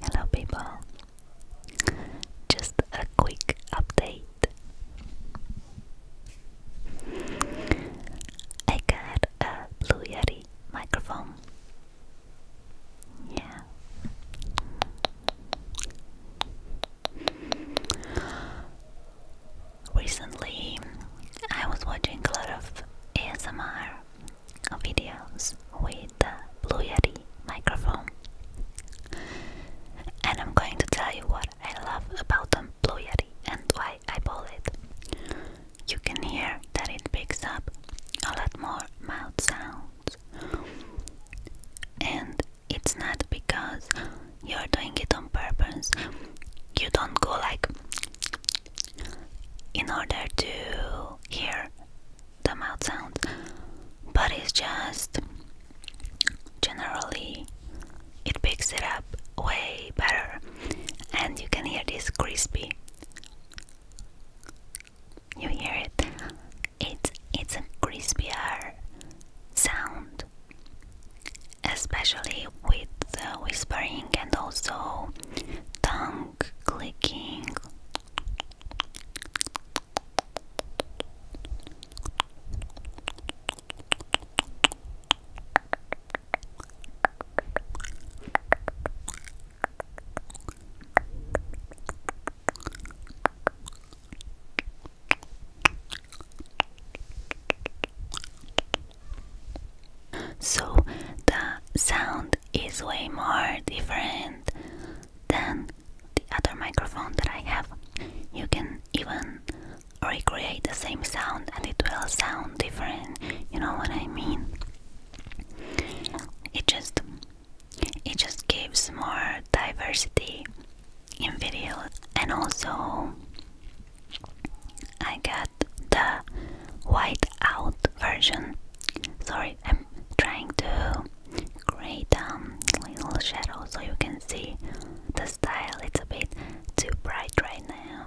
Hello, people. Just a quick update. I got a Blue Yeti microphone yeah. Recently, I was watching a lot of ASMR videos with the Blue Yeti microphone, and I'm going to tell you what I love about the Blue Yeti and why I bought it you can hear that it picks up a lot more mouth sounds. And it's not because you're doing it on purpose. You don't go like in order to hear the mouth sounds, but it's just generally it picks it up way better, and you can hear this crispy you hear it? It's it's a crispier sound, especially with the whispering and also tongue clicking. So the sound is way more different than the other microphone that I have. You can even recreate the same sound and it will sound different. You know what I mean? It just it just gives more diversity in videos and also I got the white out version. Sorry, I'm trying to create um little shadow so you can see the style. It's a bit too bright right now.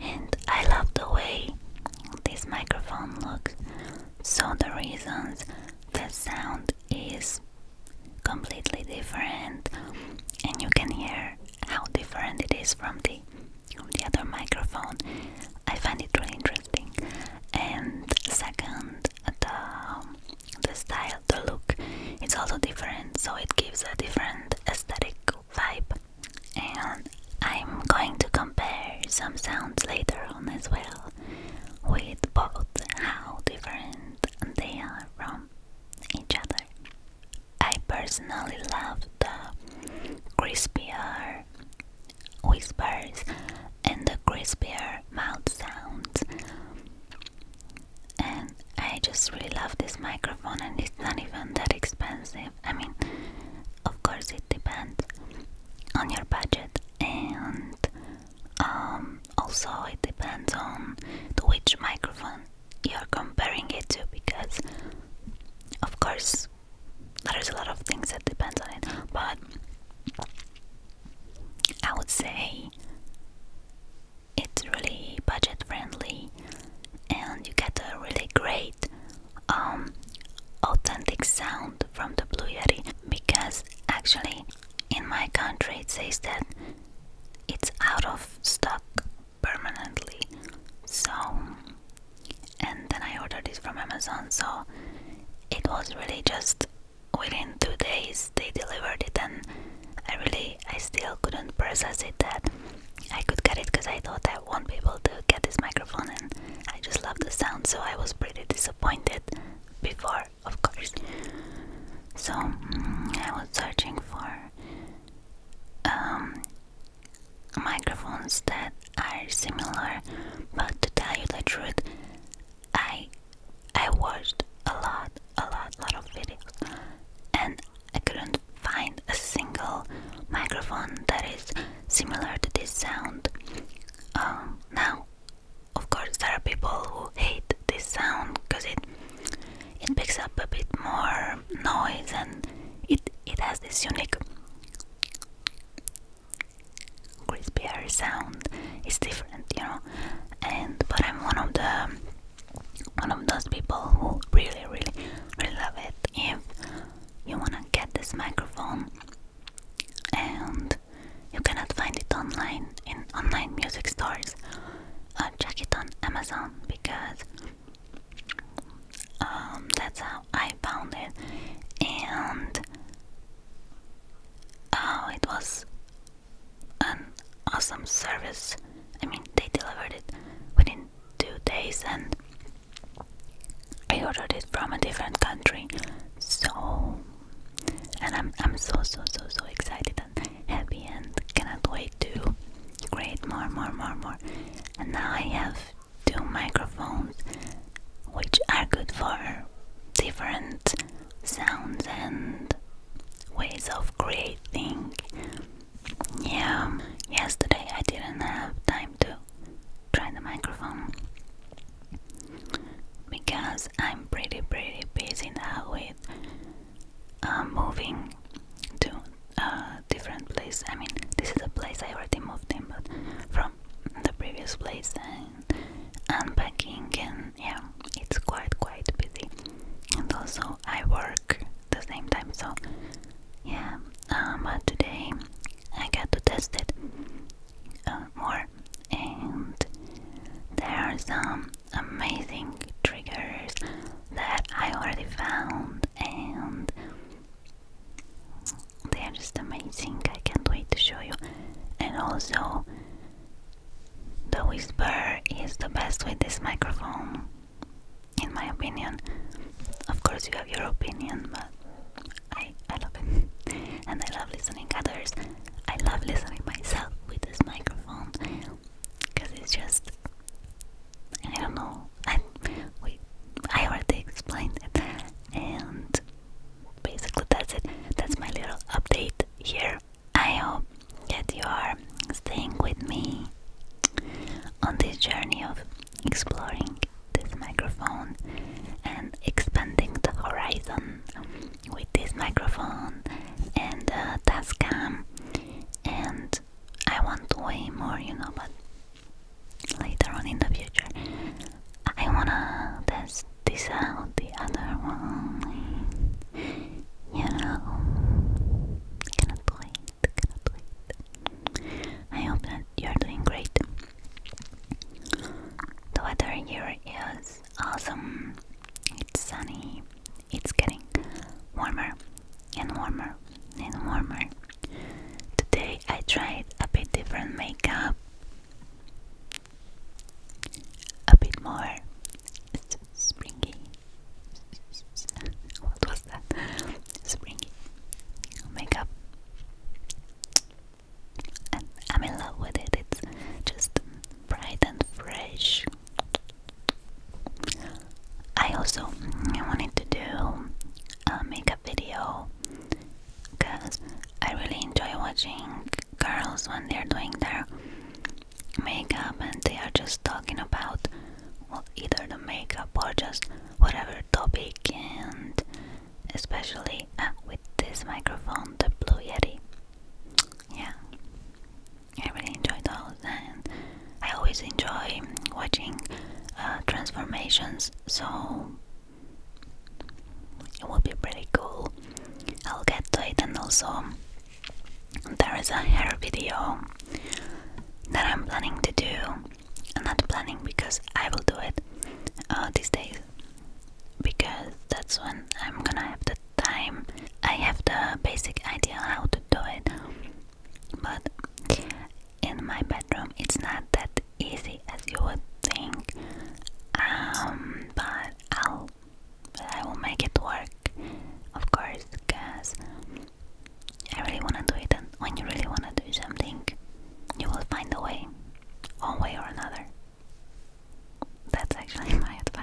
and I love the way this microphone looks, so the reasons the sound is completely different, and you can hear how different it is from the from the other microphone. I find it really interesting. And second, the the style, the look, it's also different, so it gives a different aesthetic vibe. And I'm going to compare some sounds later on as well with both how different they are from each other. I personally love the crispier whispers and the crispier mouth sounds and I just really love this microphone and it's not even that expensive. I mean, of course it depends on your budget and um, also it depends on which microphone you're comparing it to because of course there's a lot of things that depends on it but I would say it's really budget friendly and you get a really great um, authentic sound from the Blue Yeti because actually in my country it says that it's out of stock permanently. So, and then I ordered this from Amazon, so it was really just within two days they delivered it, and I really I, still couldn't process it that I could get it because I thought I won't be able to get this microphone and I just love the sound so I was pretty disappointed before of course so mm, I was searching for um, microphones that are similar but to tell you the truth I I watched a lot, a lot, lot of videos, and I couldn't find a single microphone that is similar to this sound. Um, now, of course, there are people who hate this sound because it it picks up a bit more noise and it it has this unique crispy air sound. It's different, you know. And but I'm one of the one of those people who really, really, really love it. If you wanna get this microphone and you cannot find it online in online music stores, uh, check it on Amazon because um, that's how I found it, and oh, it was an awesome service. I mean, they delivered it within two days, and I ordered it from a different country. So, and I'm I'm so so so so excited and happy, and cannot wait to create more more more more. And now I have two microphones, which are good for different sounds and ways of creating. Yeah, yesterday I didn't have time to try the microphone because I'm pretty, pretty busy now with uh, moving to a uh, different place. I mean, this is a place I already moved in, but from the previous place and unpacking yeah, it's quite quite busy. And also I work the same time, so yeah. Um, but today I got to test it uh, more, and there are some amazing triggers that I already found, and they are just amazing. I can't wait to show you. And also, the whisper is the best with this microphone, in my opinion. Of course, you have your opinion, but I, I love it. and I love listening others. I love listening myself with this microphone because it's just. I don't know. we, I already explained it. And basically that's it that's my little update here i hope that you are staying with me on this journey of exploring this microphone and expanding the horizon with this microphone and uh, Tascam and I want way more you know but later on in the future I wanna test this out the other one. You know, cannot wait, cannot wait. I hope that you're doing great. The weather here is awesome. It's sunny. It's getting warmer and warmer and warmer. Today I tried a bit different makeup a bit more springy. What was that? Springy makeup, and I'm in love with it. It's just bright and fresh. I also wanted to do a makeup video because I really enjoy watching girls when they're doing their makeup and they are just talking about either the makeup or just whatever topic, and especially uh, with this microphone, the Blue Yeti. Yeah, I really enjoy those, and I always enjoy watching uh, transformations. So it will be pretty cool. I'll get to it, and also there is a hair video that I'm planning to do. I'm not planning because I will do it uh, these days because that's when I'm gonna have the time. I have the basic idea how to do it, but in my bedroom. It's not that easy as you would think, um, but I'll, I will make it work, of course, because I really wanna do it, and when you really wanna do something, you will find a way, one way or another. That's actually my advice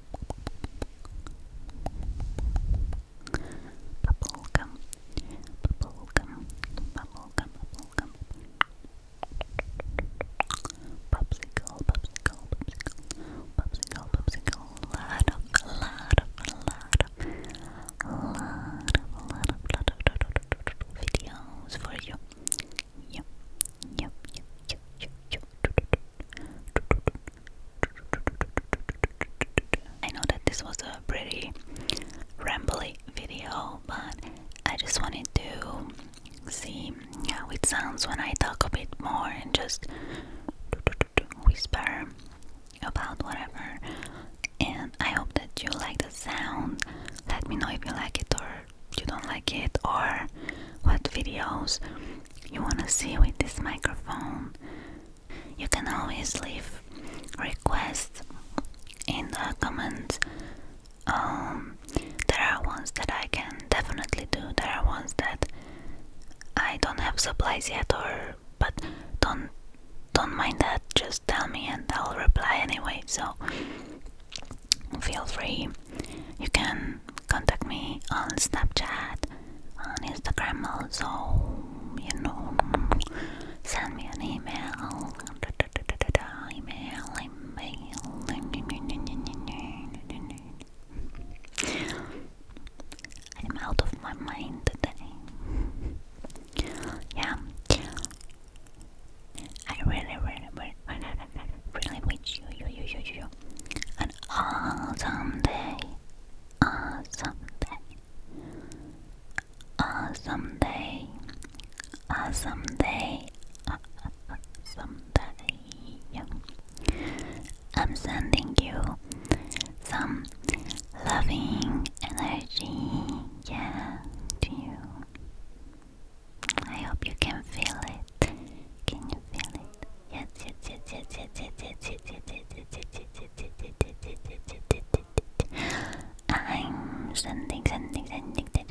Bubblegum, bubblegum, bubblegum, bubblegum. Popsicle, popsicle, popsicle, popsicle, popsicle. Lot of, lot of, lot of, lot of, lot of, lot of videos for you. Yep, yep, yep, yep, yep, yep. I know that this was a pretty rambly video, but I just wanted to see how it sounds when I talk a bit more and just whisper about whatever. And I hope that you like the sound. Let me know if you like it or you don't like it, or what videos you want to see with this microphone, you can always leave requests in the comments. Um, there are ones that I can definitely do. There are ones that I don't have supplies yet, or but don't don't mind that. Just tell me and I'll reply anyway. So feel free. You can contact me on Snapchat, on Instagram also, you know, send me an email, email, email. I'm out of my mind today. Yeah. I really, really, really, really wish you, you, you, you, you an awesome day, awesome day, awesome day, awesome day, awesome day. I'm sending you some loving energy, yeah, to you. I hope you can feel it. Can you feel it? Yes, yes, yes, yes, yes, yes, yes, yes, yes, yes, yes, yes, yes, yes, I'm sending, sending, sending. Thank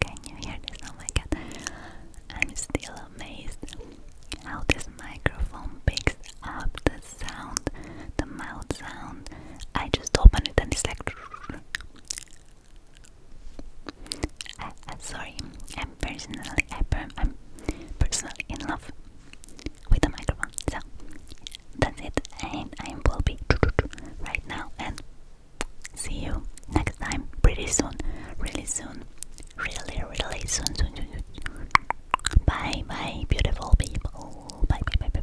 can you hear this? Oh my god. I'm still amazed how this microphone picks up the sound, the mouth sound. I just open it and it's like. I, I'm sorry, I'm personally, I, I'm personally in love with the microphone. So that's it and I will be right now and see you next time pretty soon really soon really really soon bye bye beautiful people bye bye bye, bye.